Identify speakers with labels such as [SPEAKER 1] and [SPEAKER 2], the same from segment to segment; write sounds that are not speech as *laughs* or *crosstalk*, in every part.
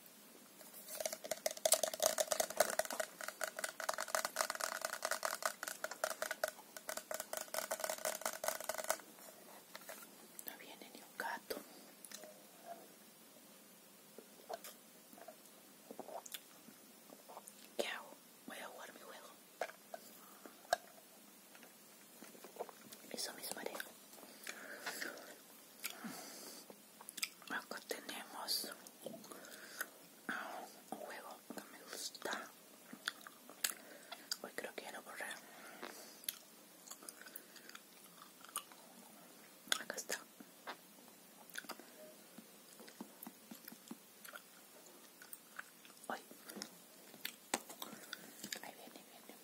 [SPEAKER 1] No viene ni un gato. ¿Qué hago? Voy a jugar mi juego. Eso mis haré acá tenemos un juego que me gusta hoy creo que ya lo borré acá está hoy ahí viene viene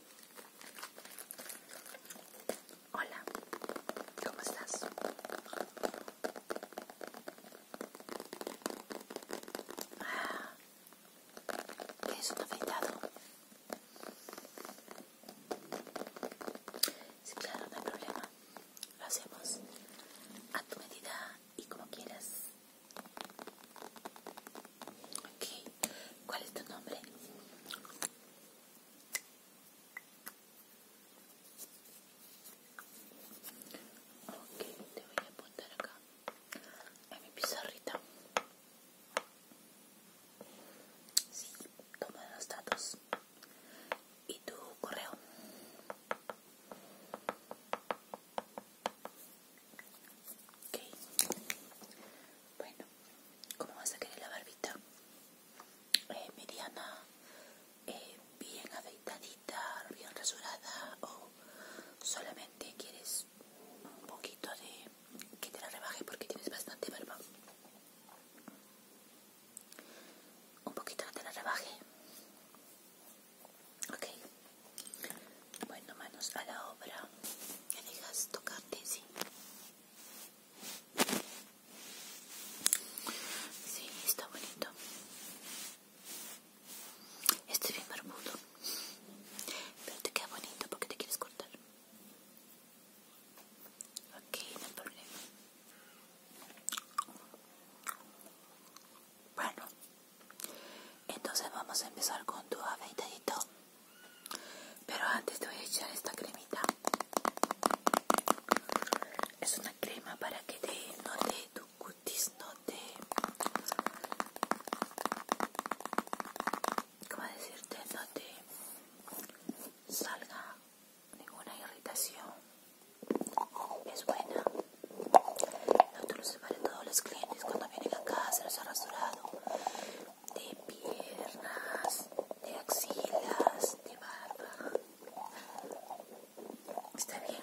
[SPEAKER 1] Hola, ¿cómo estás? Ah, es un afeitado. Sí, claro, no hay problema. Lo hacemos a tu medida y como quieras. Ok, ¿cuál es tu nombre? Ok, te voy a apuntar acá a mi pizarrita. Sí, toma los datos y tu correo. Ok, bueno, ¿cómo vas a querer la barbita? Eh, mediana, eh, bien afeitadita, bien rasurada o solamente quieres un poquito de que te la rebaje porque tienes bastante barba. Un poquito que te la rebaje. Ok. Bueno, manos a la obra. que dejas tocarte, sí. Sí, está bonito. Este bien barbudo. Pero te queda bonito porque te quieres cortar. Ok, no hay problema. Bueno, entonces vamos a empezar con tu afeitadito. Pero antes te voy a echar esta cremita. Es una crema para que te, no te, tu cutis no te... ¿Cómo decirte? No te salga ninguna irritación. Es buena. no te lo para todos los clientes cuando vienen a se los ha rasturado de piernas, de axilas, de barba. ¿Está bien?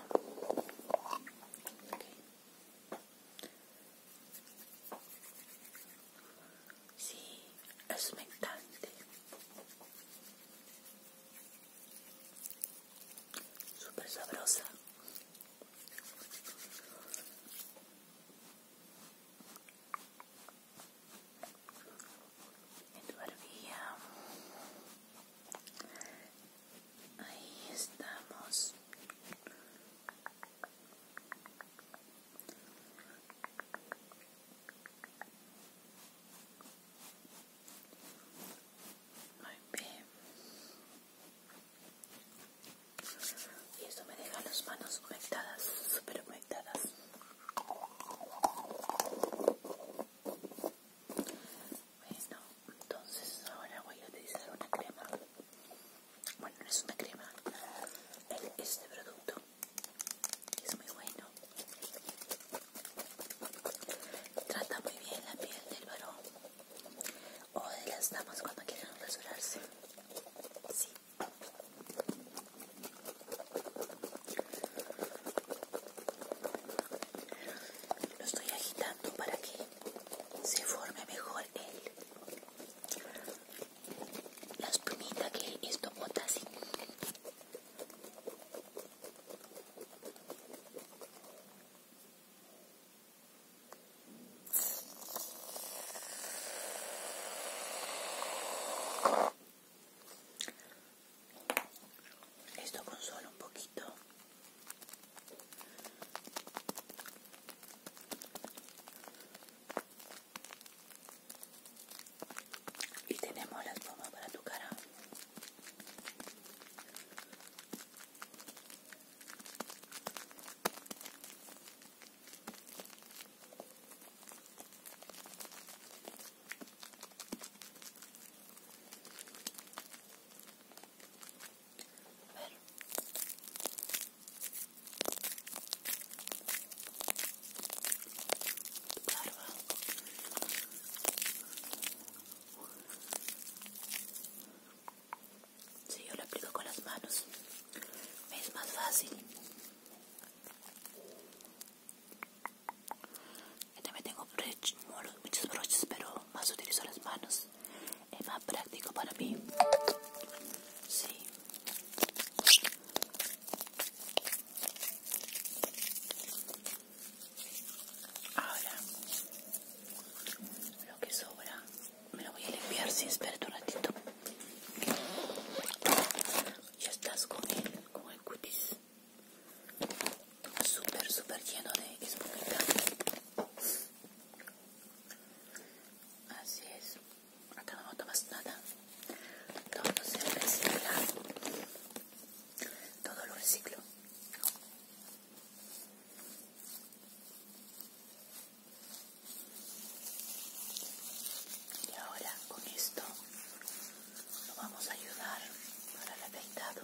[SPEAKER 1] Sí, es mentante. Súper sabrosa en tu barbilla. Ahí estamos. Muy bien. Y esto me deja las manos conectadas súper bien. Bueno, entonces ahora voy a utilizar una crema. Bueno, no es una crema, este producto es muy bueno. Trata muy bien la piel del varón o de las damas cuando quieran rasurarse. Sí, lo estoy agitando para que se forme mejor el, la espumita que esto bota esto consola un poquito. Y tenemos la toma para tu cara. Si yo lo aplico con las manos, es más fácil también tengo muchos broches, pero más utilizo las manos. Es más práctico para mí. Sí. Ahora, lo que sobra me lo voy a limpiar, si, espera un ratito ya estás con él, con el cutis súper, súper lleno de espumita. Así es, acá no tomas nada. Todo se recicla, todo lo reciclo. Y ahora con esto lo vamos a ayudar para el peinado.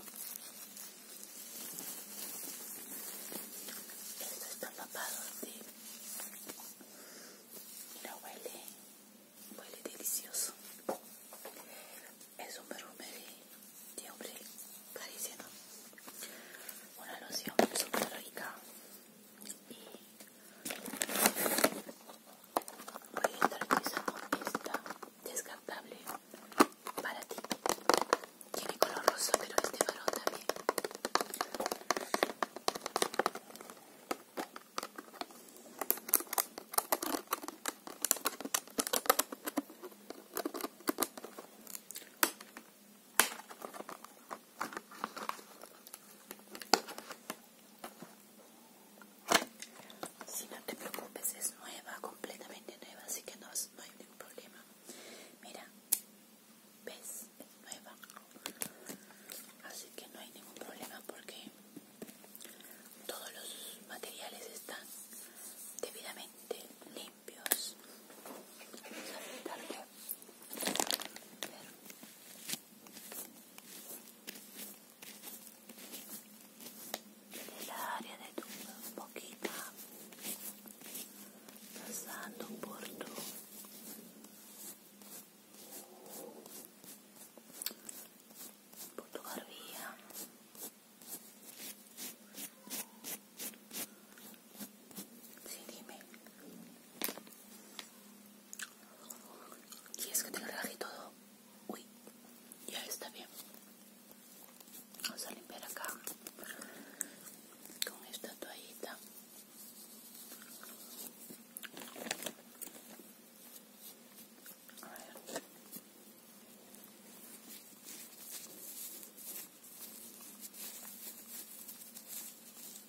[SPEAKER 1] Esto está empapado de... Mira, huele, huele delicioso. Es un perfume de, hombre carísimo. Una loción súper rica voy a estar esa esta descartable para ti tiene color rosa pero este varón también si no te preocupes, es nueva, completamente nueva, así que no, hay ningún problema. Mira, ves, es nueva. Así que no hay ningún problema porque todos los materiales están debidamente limpios. dell'aria del tubo un pochino passando por tu por tu barbilla sì dimmi Y es que te y todo. Uy, ya está bien. Vamos a limpiar acá con esta toallita. Ah,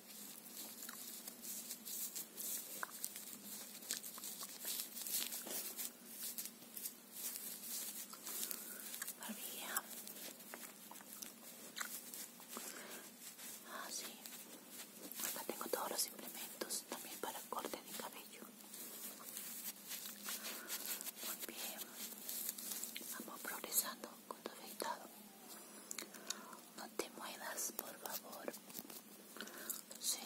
[SPEAKER 1] Acá tengo todos los implementos también para el corte de cabello. Muy bien. Vamos progresando con tu afeitado no te muevas, por favor. Sí.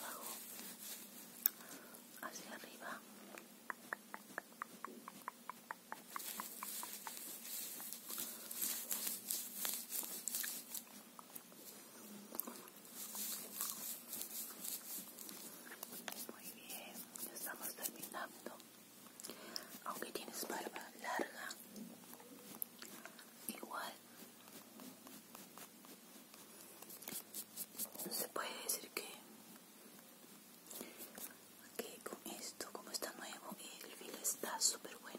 [SPEAKER 1] Bajo hacia arriba muy bien, ya estamos terminando. Aunque tienes barba larga, igual se puede decir que, que con esto, como está nuevo, el filo está súper bueno.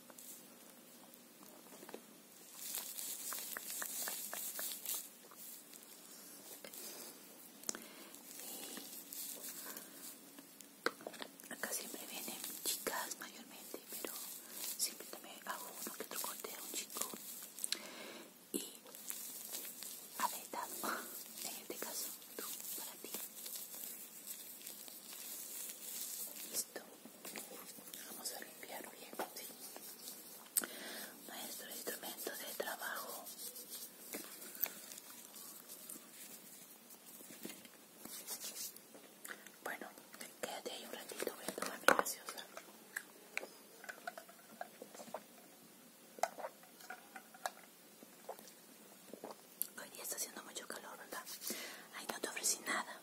[SPEAKER 1] acá siempre vienen chicas mayormente, pero siempre también hago uno que otro corte a un chico. Y a ver, *laughs* en este caso, para ti. Listo. Vamos a limpiar bien, Maestro, Nuestro instrumento de trabajo. Bueno, quédate ahí un ratito, voy a tomar mi graciosa. Hoy día está haciendo mucho calor, ¿verdad? Ay, no te ofrecí nada.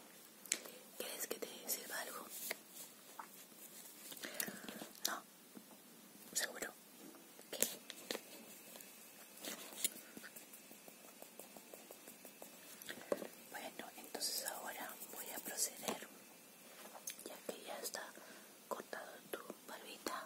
[SPEAKER 1] ¿Quieres que te sirva algo? No. ¿Seguro? Bueno, entonces ahora voy a proceder, ya que ya está cortado tu barbita.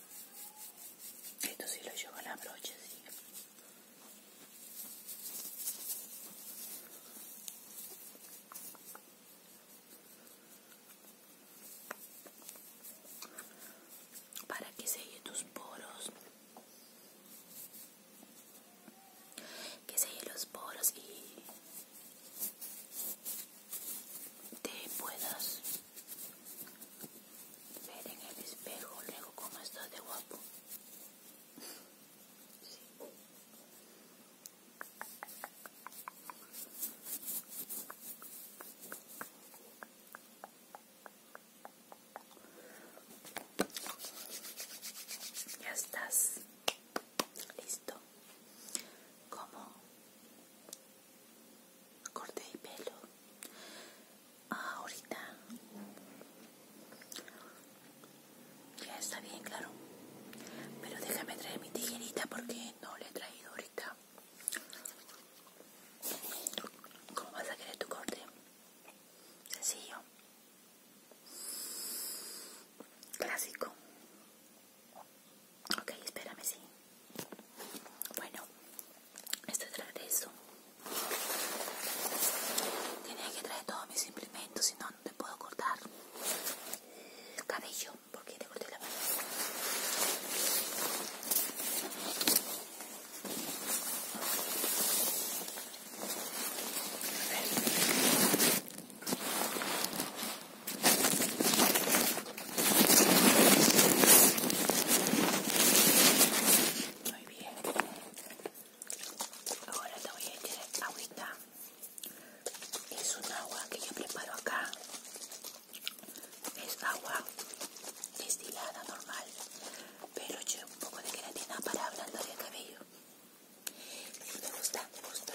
[SPEAKER 1] Esto sí lo llevo a la brocha, Para que selle tus poros. Que selle los poros y te puedas ver en el espejo luego cómo estás de guapo. Ya estás listo. Como corte de pelo ah, ahorita ya está bien claro pero déjame traer mi tijerita porque no le he traído ahorita ¿Cómo vas a querer tu corte? Sencillo. Clásico. Ok, espérame, sí. Bueno, esto trae eso. tiene que traer todos mis implementos, si no, no te puedo cortar el cabello, porque te corté la mano. Muy bien. Ahora te voy a echar agüita. Es un agua que yo preparo acá. Es agua destilada normal, pero yo un poco de queratina para ablandar el cabello. me gusta, me gusta.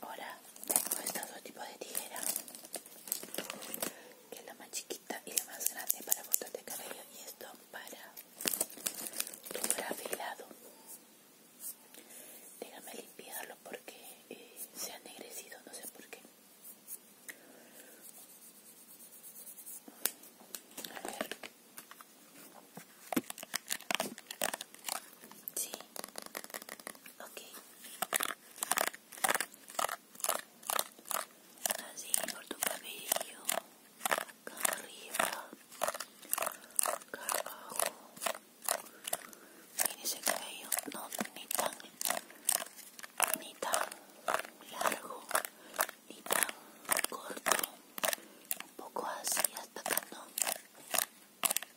[SPEAKER 1] Ahora tengo estos dos tipos de tijera, que es la más chiquita y la más grande para botas de cabello y esto para tu afilado. Déjame limpiarlo porque eh, se ha negrecido, no sé por qué. A ver. Sí, Ok. Así por tu cabello. Acá arriba. Acá abajo. ese cabello. No, ni tan. Ni tan largo. Ni tan corto. Un poco así hasta acá, ¿no?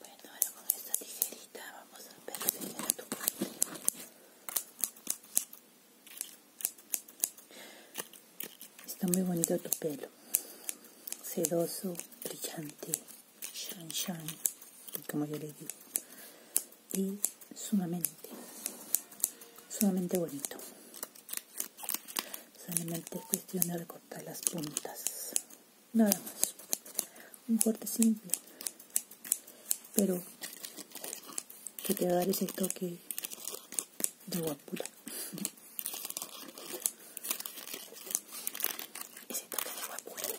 [SPEAKER 1] Bueno, ahora con esta tijerita vamos a ver perfeccionar tu parte. Está muy bonito tu pelo. Sedoso, brillante, shine shine, como yo le digo. Y sumamente, sumamente bonito. Solamente cuestión de recortar las puntas nada más un corte simple pero que te va a dar ese toque de guapura ese toque de guapura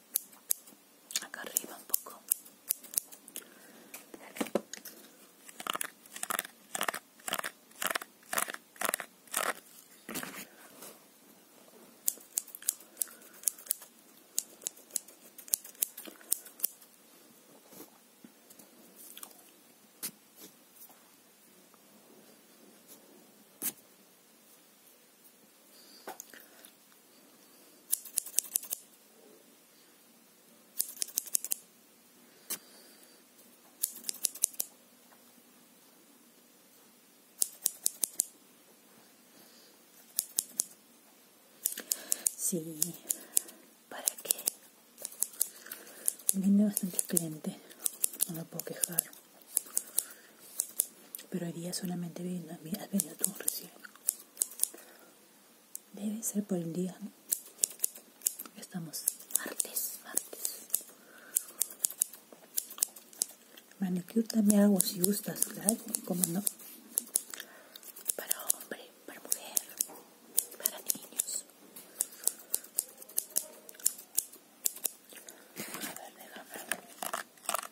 [SPEAKER 1] acá arriba un poco Sí, ¿para qué? Viene bastante excelente, no me puedo quejar. Pero haría día solamente vino, has venido tú recién. Debe ser por el día. ¿no? Estamos martes, martes. Manicure me hago si gustas, claro, como no. Para hombre, para mujer, para niños. A ver, déjame.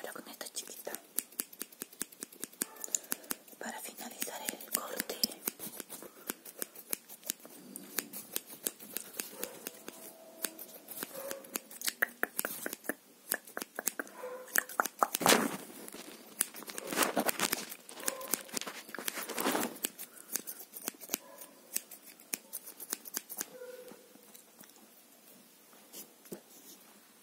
[SPEAKER 1] ahora con esta chiquita para finalizar el corte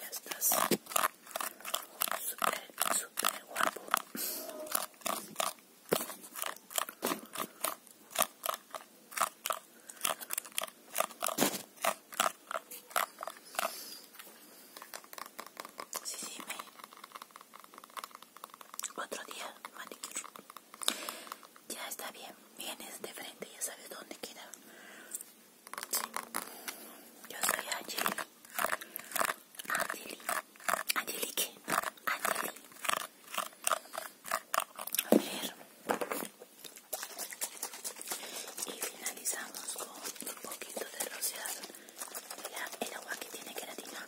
[SPEAKER 1] Ya estás súper, súper guapo. Sí, sí, me... Otro día, Ya está bien vienes de frente, ya sabes dónde queda. Yo soy Angeli. Angeli. Angelique. A ver. Y finalizamos con un poquito de rociado. el agua que tiene queratina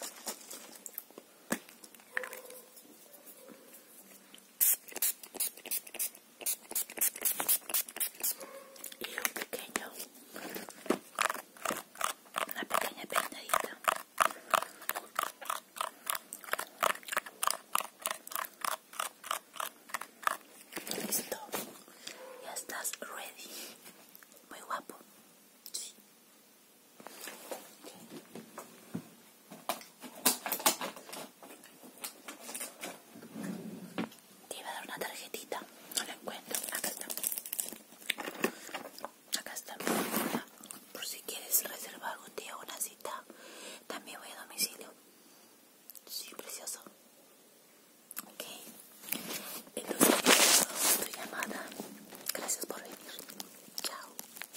[SPEAKER 1] y un pequeño una pequeña peinadita listo ya estás ready muy guapo sí te iba a dar una tarjetita, no la encuentro. Acá está. Acá está Por si quieres reservar un día una cita, también voy a domicilio. Sí, precioso. Ok. Entonces, tu llamada. Gracias por venir. Chao.